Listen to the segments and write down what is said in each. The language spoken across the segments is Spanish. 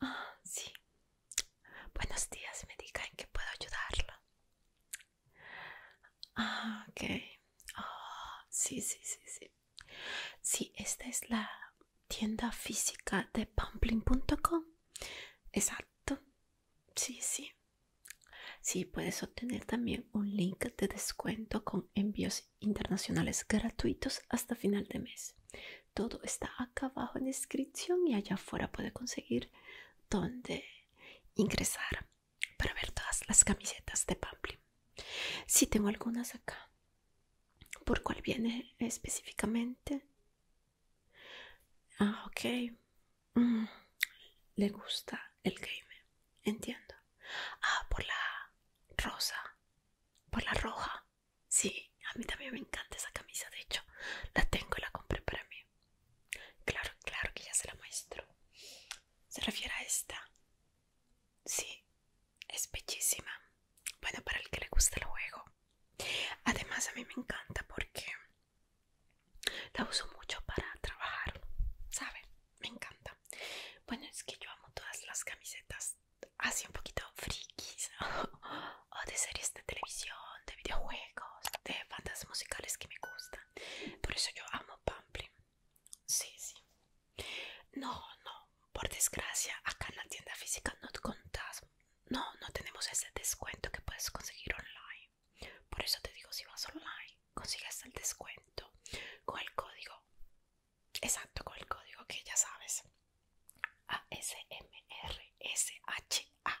Ah, sí. Buenos días, me diga en qué puedo ayudarla. Ah, ok. Ah, sí, sí, sí, sí. Sí, esta es la tienda física de pamplin.com. Exacto. Sí, sí. Sí, puedes obtener también un link de descuento con envíos internacionales gratuitos hasta final de mes. Todo está acá abajo en descripción y allá afuera puede conseguir donde ingresar para ver todas las camisetas de Pamplin. Si tengo algunas acá. ¿Por cuál viene específicamente? Ah, ok. Mm, le gusta el game. Entiendo. Ah, por la rosa. Por la roja. Sí, a mí también me encanta esa camisa. De hecho, la tengo y la compré para mí. Claro, claro que ya se la muestro. Se refiere a esta. Sí, es bellísima. Bueno, para el que le guste el juego. Además, a mí me encanta porque la uso mucho para trabajar, ¿sabes? me encanta. Bueno, es que yo amo todas las camisetas así un poquito frikis o de series de televisión, de videojuegos, de bandas musicales que me gustan. Por eso yo amo Pamplin. Sí, sí. No, no, por desgracia, acá en la tienda física no te contás. No, no tenemos ese descuento que puedes conseguir online. Por eso te digo, si vas online, consigues el descuento con el código, exacto, con el código que ya sabes. ASMRSHA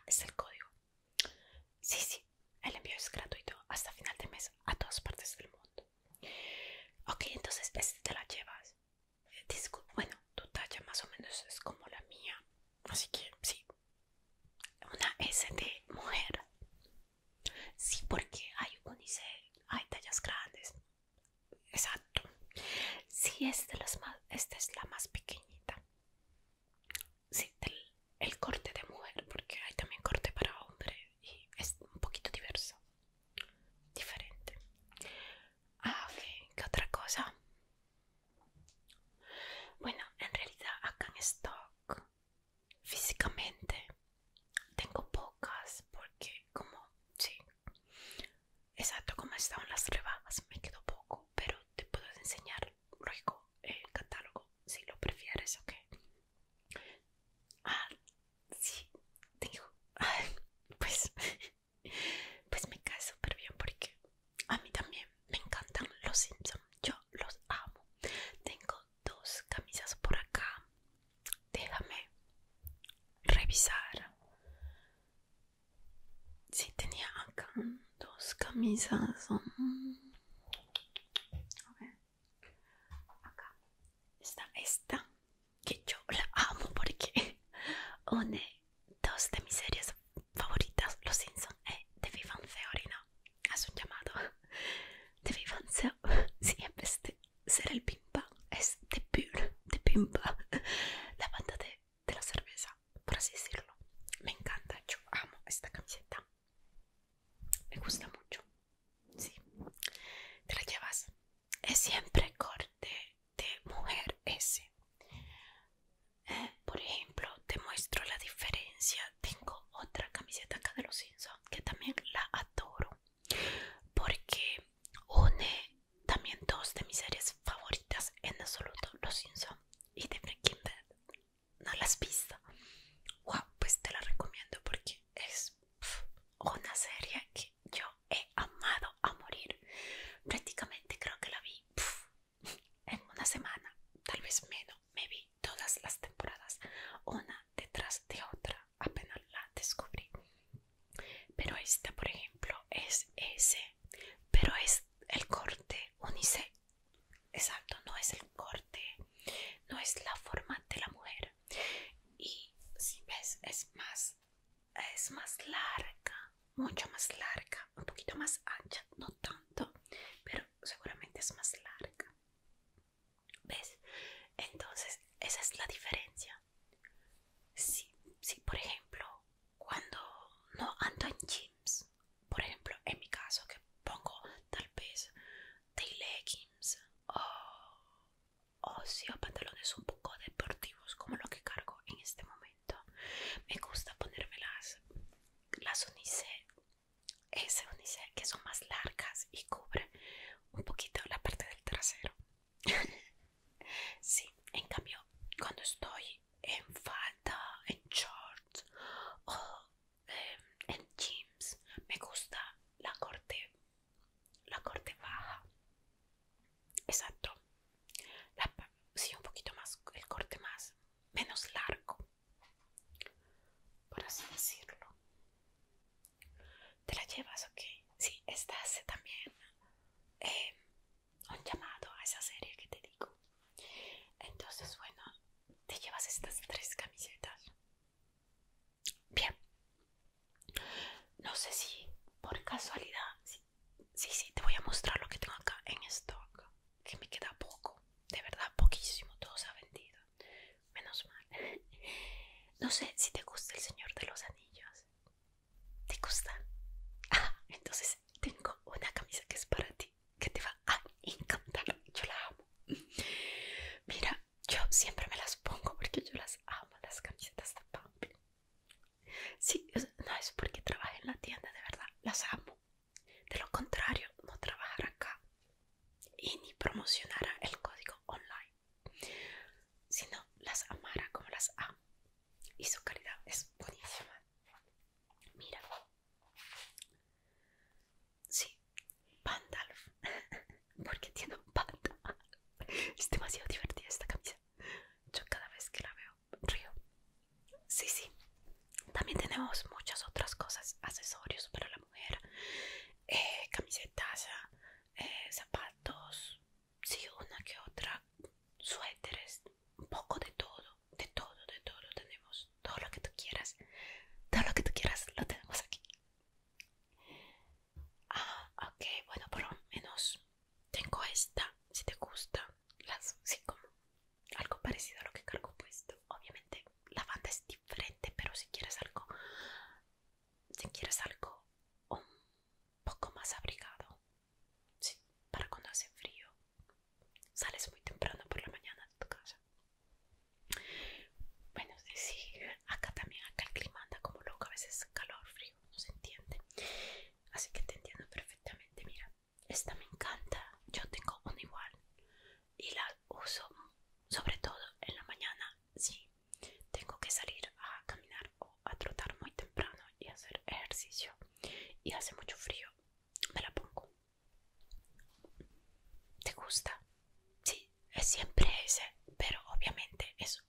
es el código. Sí, sí, el envío es gratuito hasta final de mes a todas partes del mundo. Ok, entonces este te la llevas. Eh, bueno, tu talla más o menos es como la mía. Así que sí. Una S de mujer. Sí, porque hay unise, hay tallas grandes. Exacto. Sí, esta es la más pequeñita. Sí, el corte de mujer, porque hay también corte para hombre y es un poquito diverso. Diferente. Ah, ok. ¿Qué otra cosa? Bueno, en realidad acá en stock físicamente tengo pocas porque como sí exacto como estaban las rebajas me quedó poco pero te puedo enseñar luego el catálogo si lo prefieres ok ah sí tengo pues pues me cae súper bien porque a mí también me encantan los Simpsons, yo los amo. Tengo dos camisas por acá. Déjame revisar. Si tenía acá dos camisas. A Acá está esta que yo la amo porque une dos de mis series favoritas, Los Simpsons y eh, The Vivan Theory, ¿no? haz un llamado de vivencia siempre sí, este ser el pimpa es de de pimpa la banda de, la cerveza por así decirlo me encanta yo amo esta camiseta me gusta mucho sí te la llevas es siempre corte de mujer ese por ejemplo, te muestro la diferencia. Tengo otra camiseta acá de los Simpsons que también la adoro porque une también dos de mis series favoritas en absoluto, Los Simpsons y The Breaking ¿No las has visto? Wow, pues te la recomiendo porque es una serie que yo he amado a morir. Prácticamente creo que la vi en una semana, tal vez menos, me vi todas las temporadas, una detrás de otra, apenas la descubrí. Pero esta, por ejemplo, es ese, pero es el corte unisex. Exacto, no es el corte, no es la forma de la mujer. Y si ves, es más, es más larga, mucho más larga, un poquito más ancha, no tanto, pero seguramente es más larga. ¿Ves? Entonces, esa es la diferencia. Si, por ejemplo, cuando no ando en jeans, por ejemplo, en mi caso que pongo tal vez tail leggings o, o si o pantalones un poco deportivos como lo que cargo en este momento, me gusta ponérmelas las unice, ese que son más largas y cubre un poquito la parte del trasero. sí, en cambio, cuando estoy en falda, en shorts o em, en jeans, me gusta la corte, la corte baja. Exacto. sí, un poquito más, el corte más menos largo, por así decirlo. ¿Te la llevas ¿ok? Sí, esta hace también eh, un llamado a esa serie que te digo. Entonces, bueno, te llevas estas tres camisetas. Bien. No sé si por casualidad, si Sí, sí, te voy a mostrar lo que tengo acá en stock. Que me queda poco, de verdad, poquísimo. Todo se ha vendido. Menos mal. No sé si te gusta el Señor de los Anillos. ¿Te gusta? Ah, entonces tengo una camisa que es para ti, que te va a encantar. Yo la amo. Mira, yo siempre me las pongo porque yo las amo, las camisetas de Sí, no es porque trabaje en la tienda, de verdad, las amo. De lo contrario, no trabajará acá y ni promocionará el código online, sino las amará como las amo. Y su calidad es buenísima. Mira. Sí, Pandalf. porque tiene un Es demasiado divertida esta camisa. Yo cada vez que la veo río. Sí, sí. También tenemos muchas otras cosas, accesorios para la mujer, eh, camisetas, eh, zapatos, sí, una que otra, suéteres, un poco de todo, de todo, de todo tenemos, todo lo que tú quieras, todo lo que tú quieras lo tenemos aquí. Ah, ok, bueno, por lo menos tengo esta, si te gusta, como algo parecido a lo que cargo puesto. Obviamente la banda es diferente, pero si quieres algo, si quieres algo un poco más abrigado, sí, para cuando hace frío, sales muy temprano por la mañana de tu casa. Bueno, sí, acá también, acá el clima anda como loco, a veces calor, frío, no se entiende. Así que te entiendo perfectamente. Mira, esta me encanta. Yo tengo una igual y la uso sobre todo en la mañana. Si tengo que salir a caminar o a trotar muy temprano y hacer ejercicio y hace mucho frío, me la pongo. ¿Te gusta? Sí, es siempre ese, pero obviamente es un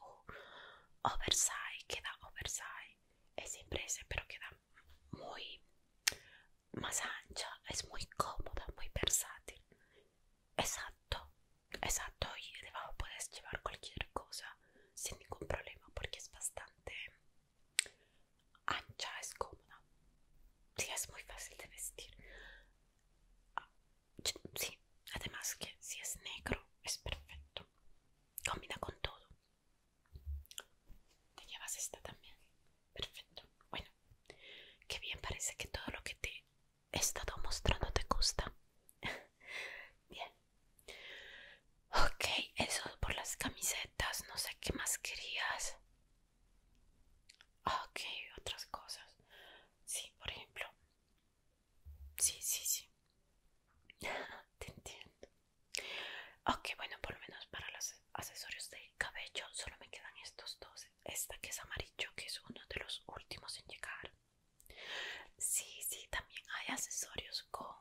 que da oversize es impresa pero queda muy más ancha es muy cómoda muy versátil exacto exacto y debajo puedes llevar cualquier cosa sin ningún problema porque es bastante ancha es cómoda sí es muy fácil de vestir ah, sí además que si es negro es perfecto combina con todo ¿Te llevas esta también? Perfecto. Bueno, qué bien, parece que todo lo que te he estado mostrando te gusta. bien. Ok, eso por las camisetas, no sé qué más querías. Ok, otras cosas. Sí, por ejemplo, Sí, sí, sí. Te entiendo. Ok, bueno, por lo menos para los accesorios de cabello solo me quedan estos dos. Esta que es amarillo, que es uno de los últimos en llegar. Sí, sí, también hay accesorios con,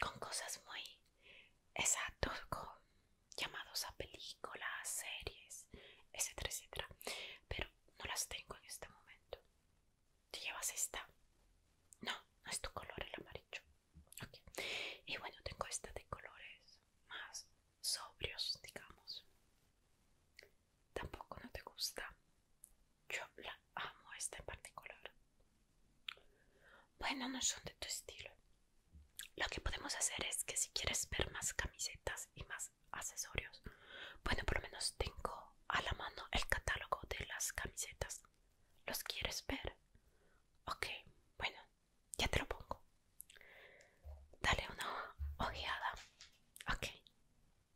con cosas muy exactos, con llamados a películas, series, etcétera, etcétera. Pero no las tengo en este momento. ¿Te llevas esta? No, no es tu color el amarillo. Y bueno, tengo esta de colores más sobrios, digamos. Tampoco no te gusta. Yo la amo esta en particular. Bueno, no son de tu estilo. Lo que podemos hacer es que si quieres ver más camisetas y más accesorios, bueno, por lo menos tengo a la mano el catálogo de las camisetas. ¿Los quieres ver? Ok, bueno, ya te lo pongo. Dale una ojeada. Ok,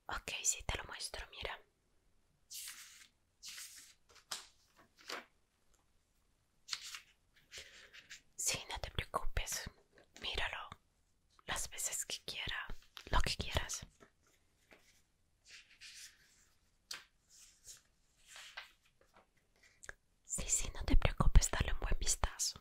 ok, sí te lo muestro, mira. Sí, no te preocupes, míralo las veces que quiera, lo que quieras. Sí, sí, no te preocupes, darle un buen vistazo.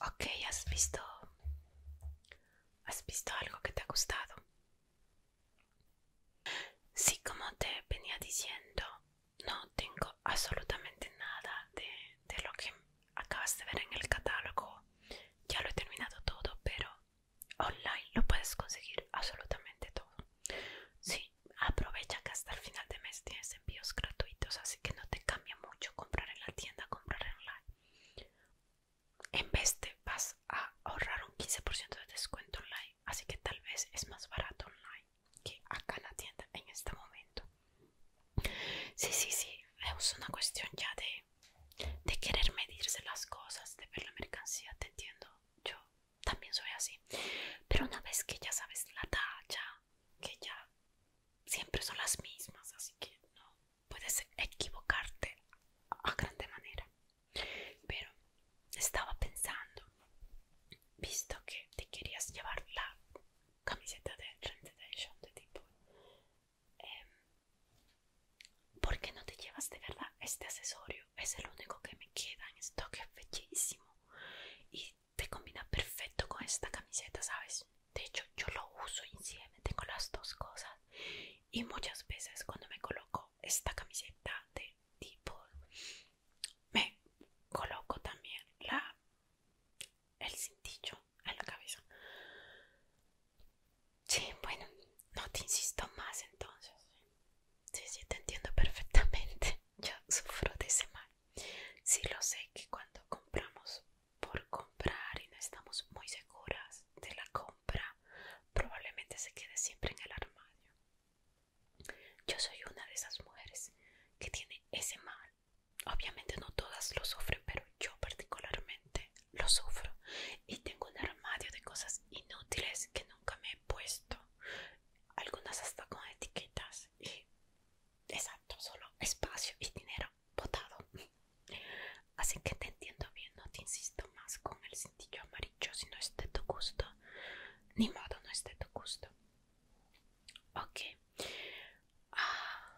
Ok, ¿has visto? ¿Has visto algo que te ha gustado? Sí, como te venía diciendo, no tengo absolutamente nada de, de lo que acabas de ver en el catálogo. Ya lo he terminado todo, pero online lo puedes conseguir absolutamente todo. Sí, aprovecha que hasta el final de mes tienes envíos gratuitos, así que no te cambia mucho comprar en la tienda, comprar online. En vez te vas a ahorrar un 15% de descuento online, así que tal vez es más barato online que acá en la tienda en este momento. Sí, sí, sí, es una cuestión ya de querer medirse las cosas, de ver la mercancía, te entiendo. Yo también soy así. Pero una vez que ya sabes la talla, que ya siempre son las mismas, así que no puedes equivocarte a grande manera. Pero estaba pensando, visto que te querías llevar la camiseta de Trend de tipo, em, ¿Por qué no te llevas de verdad este accesorio? Es el único que me queda en esto que es y te combina perfecto con esta camiseta, ¿sabes? De hecho, yo lo uso encima con tengo las dos cosas. Y muchas veces cuando me coloco esta camiseta de tipo, me coloco también la el cintillo en la cabeza. Sí, bueno, no te insisto más entonces. Sí, sí, te entiendo perfectamente. Yo sufro de ese mal. Sí lo sé que cuando compramos por comprar y no estamos muy seguras de la compra, probablemente se quede siempre en el armario. Yo soy una de esas mujeres que tiene ese mal. Obviamente no todas lo sufren, pero yo particularmente lo sufro. Y tengo un armario de cosas inútiles que no nunca me he puesto. Algunas hasta con etiquetas y exacto, solo espacio y dinero botado. Así que te entiendo bien, no te insisto más con el cintillo amarillo si no es de tu gusto. Ni modo, no es de tu gusto. Ok. Ah,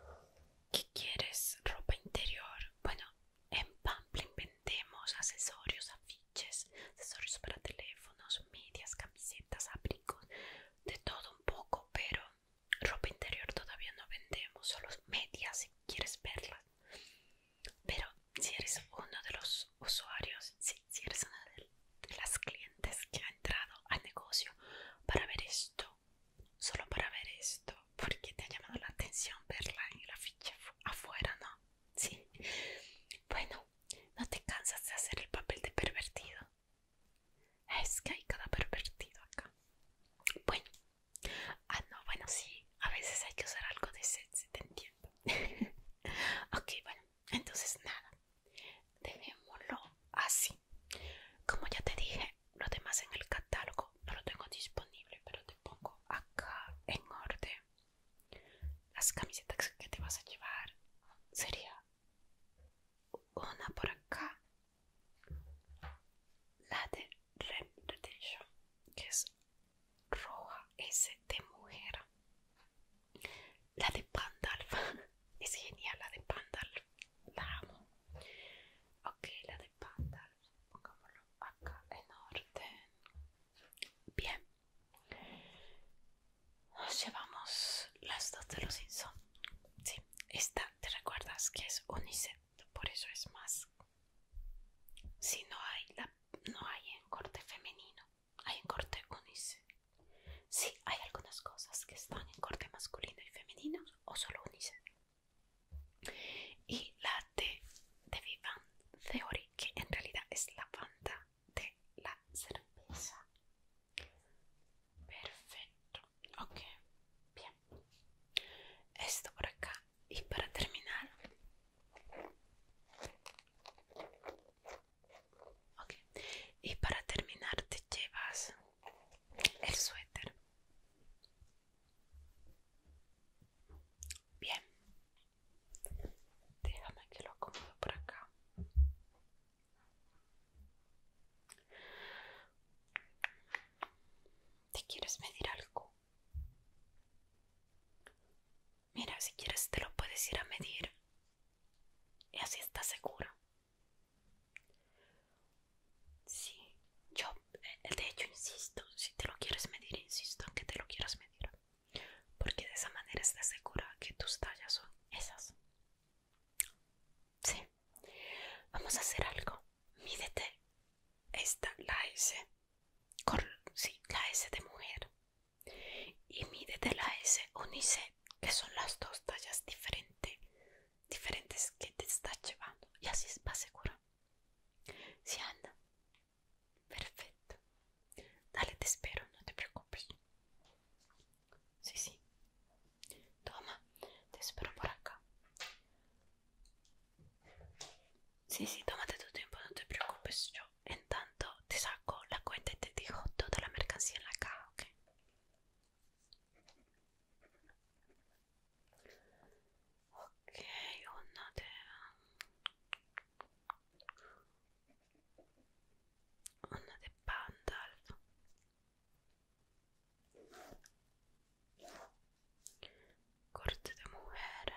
¿Qué quieres? ¿Ropa interior? Bueno, en Pamplin vendemos accesorios, afiches, accesorios para teléfonos, medias, camisetas, abrigos, de todo un poco, pero ropa interior todavía no vendemos, solo medias si quieres verlas. Pero si eres uno de los usuarios, si, eres una de las clientes que ha entrado al negocio para ver esto, solo para ver esto, porque te ha llamado la atención verla en la ficha afuera, ¿no? Sí. Bueno, no te cansas de hacer el papel de pervertido. Es que hay cada pervertido acá. Bueno. Ah, no, bueno, sí. A veces hay que usar algo de sexy, te entiendo. ok, bueno. Entonces, nada. Dejémoslo así. Como ya te dije, lo demás en el catálogo no lo tengo disponible, pero te pongo acá en orden las camisetas que te vas a llevar. Sería una por acá, la de Red Edition que es roja, S de mujer. La de Pandalf, es genial la de Pandalf, la amo. Ok, la de Pandalf pongámoslo acá en orden. Bien. Nos llevamos las dos de los Inson. esta te recuerdas que es unisex, por eso es más. Si no hay no hay en corte femenino, hay en corte unisex. Si hay algunas cosas que están en corte masculino y femenino o solo unisex y la T de Vivan Theory, que en realidad es la banda de la cerveza. Perfecto, ok, bien. Esto por acá. Y para terminar, ok, y para terminar te llevas el suéter. Bien, déjame que lo acomodo por acá. ¿Te quieres medir algo? Mira, si quieres te lo puedes ir a medir y así estás seguro. Sí, yo eh, de hecho insisto, si te lo quieres medir, insisto en que te lo quieras medir. Porque de esa manera estás segura que tus tallas son esas. Sí, vamos a hacer algo. Mídete esta, la S. la S de mujer. Y mídete la S unice, que son las dos tallas diferentes diferentes que te estás llevando. Y así estás segura. Si anda. Perfecto. Dale, te espero, no te preocupes. Sí, sí. Toma, te espero por acá. Sí, sí, tómate tu tiempo, no te preocupes. Yo, en tanto, te saco la cuenta y te digo toda la mercancía en la caja, ¿ok? Ok, onnatea Onnate Pandalf Corte de Mujer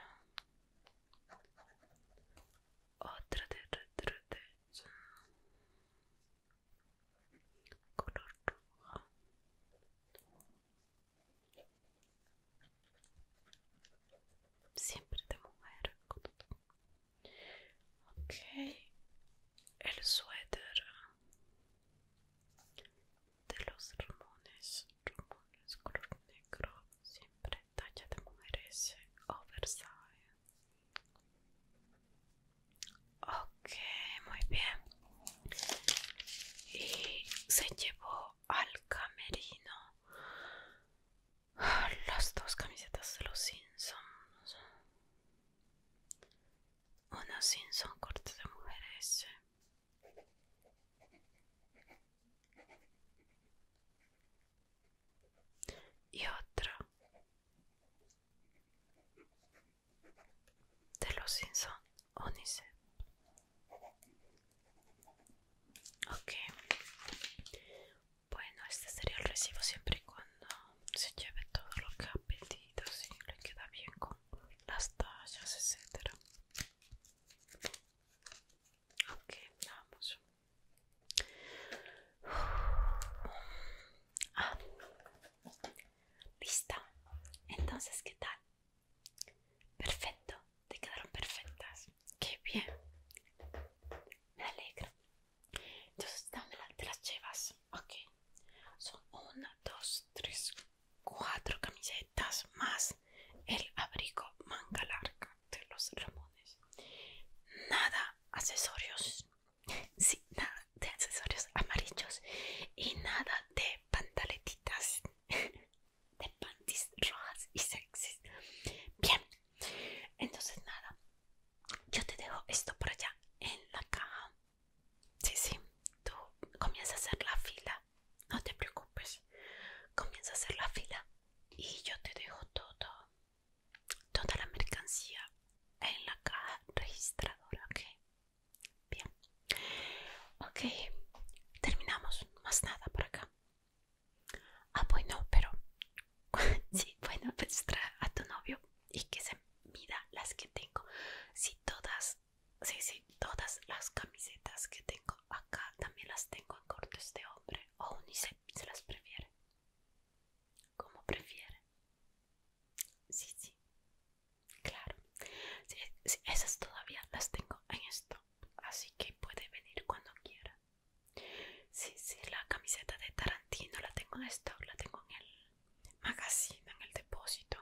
Otra de Retretezza Color rojo Siempre de mujer. Ok. El suéter de los rumones Ramones color negro. Siempre talla de mujeres. Oversize. Ok, muy bien. Y se llevó al camerino ah, las dos camisetas de los Simpsons. Una Simpson corte de mujeres. Y otra de los Simpson Unice. Ok. Bueno, este sería el recibo siempre y cuando se lleve todo lo que ha pedido, le queda bien con las tallas, etcétera. Ok, vamos. Ah. Lista. Entonces, ¿qué tal? Perfecto. Te quedaron perfectas. Qué bien. Me alegro. Entonces, dame la, de las llevas. Ok. Son una, dos, tres, cuatro camisetas más el abrigo manga larga de los Ramones. Nada, accesorios Sí, nada de accesorios amarillos y nada de pantaletitas, de panties rojas y sexys. Bien, entonces nada, yo te dejo esto por allá en la caja. Sí, sí, tú comienzas a hacer la fila, no te preocupes, comienza a hacer la fila y yo te dejo todo, toda la mercancía en la caja registradora, ¿ok? Bien. Ok. Terminamos. Más nada por acá. Ah, bueno, pero... sí, bueno, pues trae a tu novio y que se mida las que tengo. si todas... Sí, todas las camisetas que tengo acá también las tengo en cortes de hombre o unise se, se las prefiere como prefiere. Sí, sí, claro. esas todavía las tengo en stock, así que puede venir cuando quiera. Sí, sí, la camiseta de Tarantino la tengo en stock, la tengo en el magazine, en el depósito.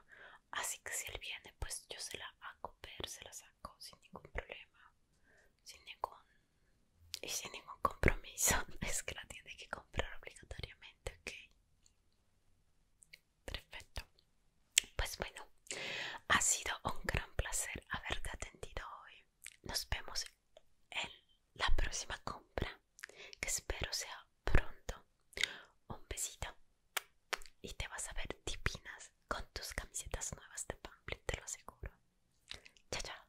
Así que si él viene, pues yo se la hago ver, se la saco sin ningún problema, sin ningún y sin ningún compromiso. Es que la tiene que comprar obligatoriamente ok. Perfecto. Pues bueno, ha sido un gran placer haberte atendido hoy. Nos vemos en la próxima compra, que espero sea pronto. Un besito y te vas a ver divinas con tus camisetas nuevas de Pamplin, te lo aseguro. Chao, chao.